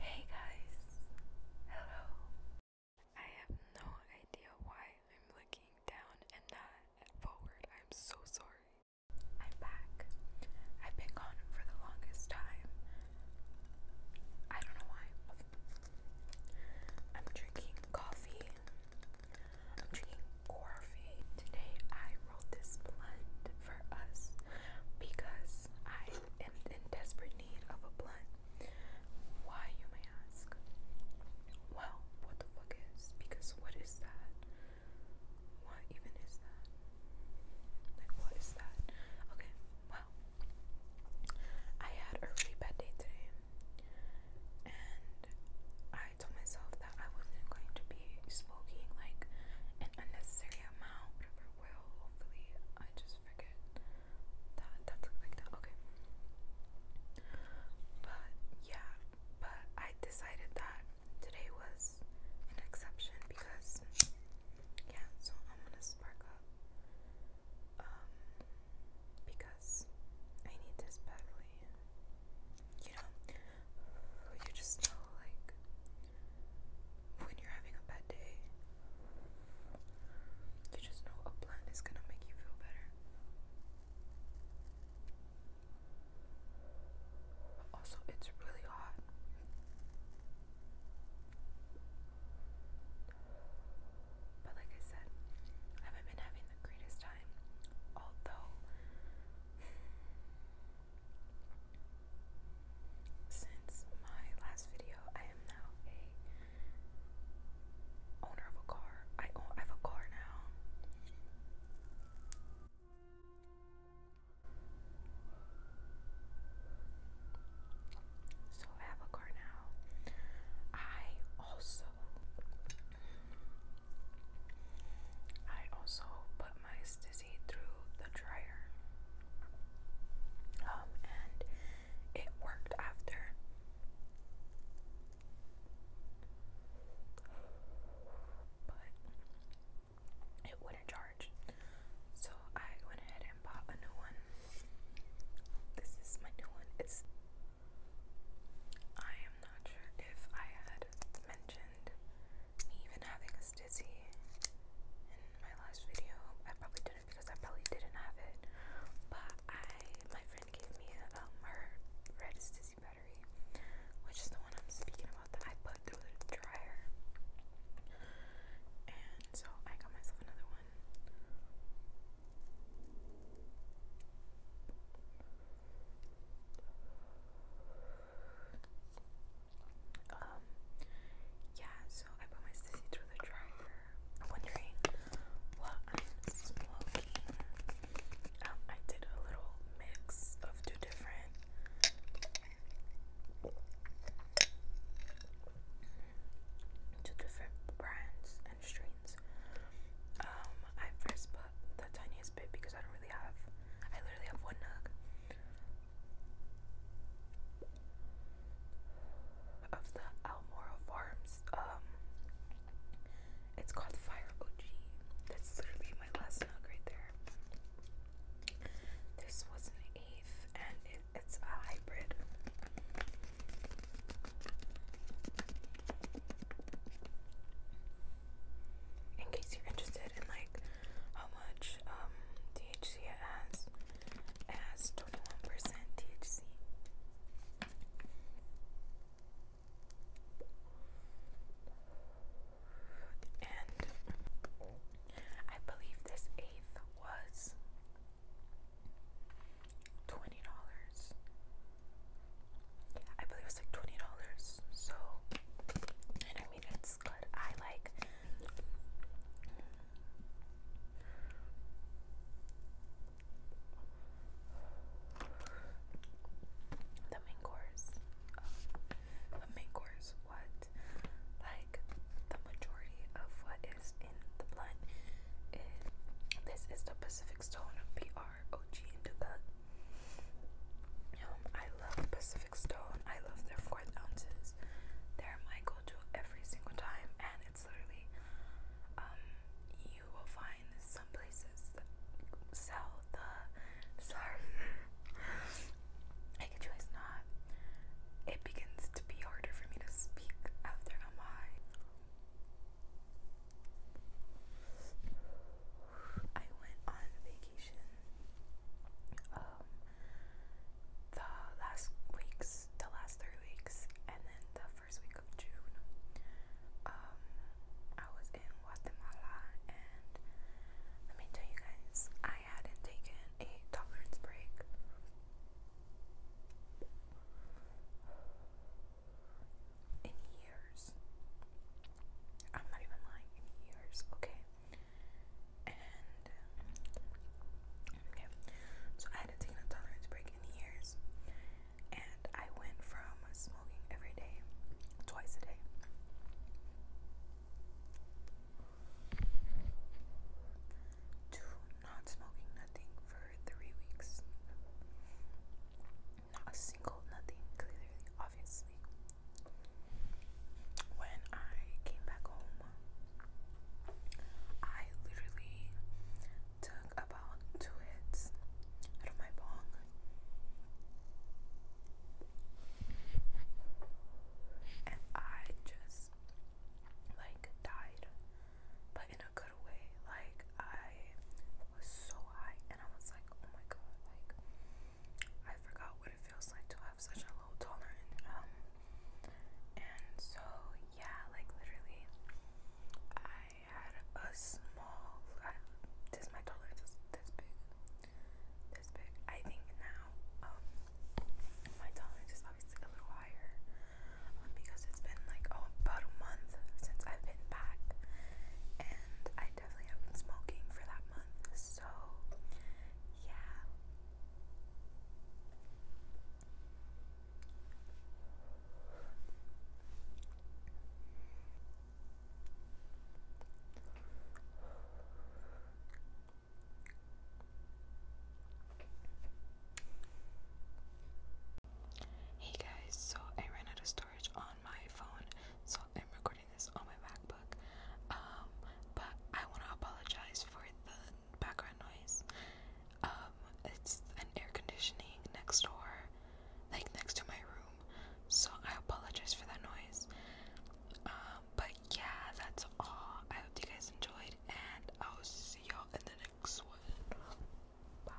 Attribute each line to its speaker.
Speaker 1: Hey guys, hello. I have no idea why I'm looking down and not forward. I'm so sorry. I'm back. I've been gone for the longest time. I don't know why. I'm drinking coffee. I'm drinking coffee. Today I wrote this blunt for us because I am in desperate need of a blunt. Why, you may ask? Well, what the fuck is? Because what is that? What even is that? Like, what is that? Okay, well, I had a really bad day today, and I told myself that I wasn't going to be smoking like an unnecessary amount, will. Hopefully, I just forget that that's like that. Okay. But yeah, but I decided that today was an exception because yeah. So I'm gonna spark up. Um, because I need this badly. You know, you just know like when you're having a bad day, you just know a plant is gonna make you feel better. Also, it's really hot. But like I said, I haven't been having the greatest time. Although since my last video, I am now a owner of a car. I own I have a car now. So I have a car now. I also I also put my through the dryer. Um, and it worked after. But it wouldn't charge. So I went ahead and bought a new one. This is my new one. It's I am not sure if I had mentioned even having a stizzy in my last video. I probably didn't because I probably didn't have it. But I, my friend gave me a, um, red stizzy battery, which is the one I'm speaking about that I put through the dryer. And so I got myself another one. Um, yeah, so I put my sissy through the dryer. I'm wondering what I'm smoking. Um, I did a little mix of two different two different brands and strains. Um, I first put the tiniest bit because I don't really have I literally have one nug of the Almora Farms. Um, it's called Fire OG. That's literally my last mug right there. This was an eighth, and it's a hybrid in case you're interested in like how much um, THC it has. It has 21% THC. And I believe this eighth was twenty dollars. I believe it like twenty dollars. So I mean, it's good. I like. The main course, um, the main course, what, like, the majority of what is in the blunt is, this is the Pacific Stone PR OG into Um, I love Pacific Stone. I love their fourth ounces. They're my go-to every single time, and it's literally um you will find some places sell the sorry. I could choose not. It begins to be harder for me to speak after I'm I went on vacation um the last weeks, the last three weeks, and then the first week of June. Um, I was in Guatemala, and let me tell you guys, I hadn't taken a tolerance break in years. I'm not even lying, in years, okay? And, okay, so I had a tolerance break in years, and I went from smoking every day, twice a day. To not smoking nothing for three weeks. Not a single nothing, clearly, obviously. When I came back home, I literally took about two hits out of my bong. And I just like died, but in a good way. Like, I was so high, and I was like, oh my god, like I forgot what it feels like to have such a low tolerance. Um, and so yeah, like literally, I had a small. I, this my tolerance is this big, this big. I think now, um, my tolerance is obviously a little higher, um, because it's been like oh about a month since I've been back, and I definitely have been smoking for that month. So, yeah. Hey guys, so I ran out of on my phone, so I'm recording this on my MacBook. Um, but I want to apologize for the background noise. Um, it's an air conditioning next door, like next to my room, so I apologize for that noise. Um, but yeah, that's all. I hope you guys enjoyed, and I'll see y'all in the next one. Bye.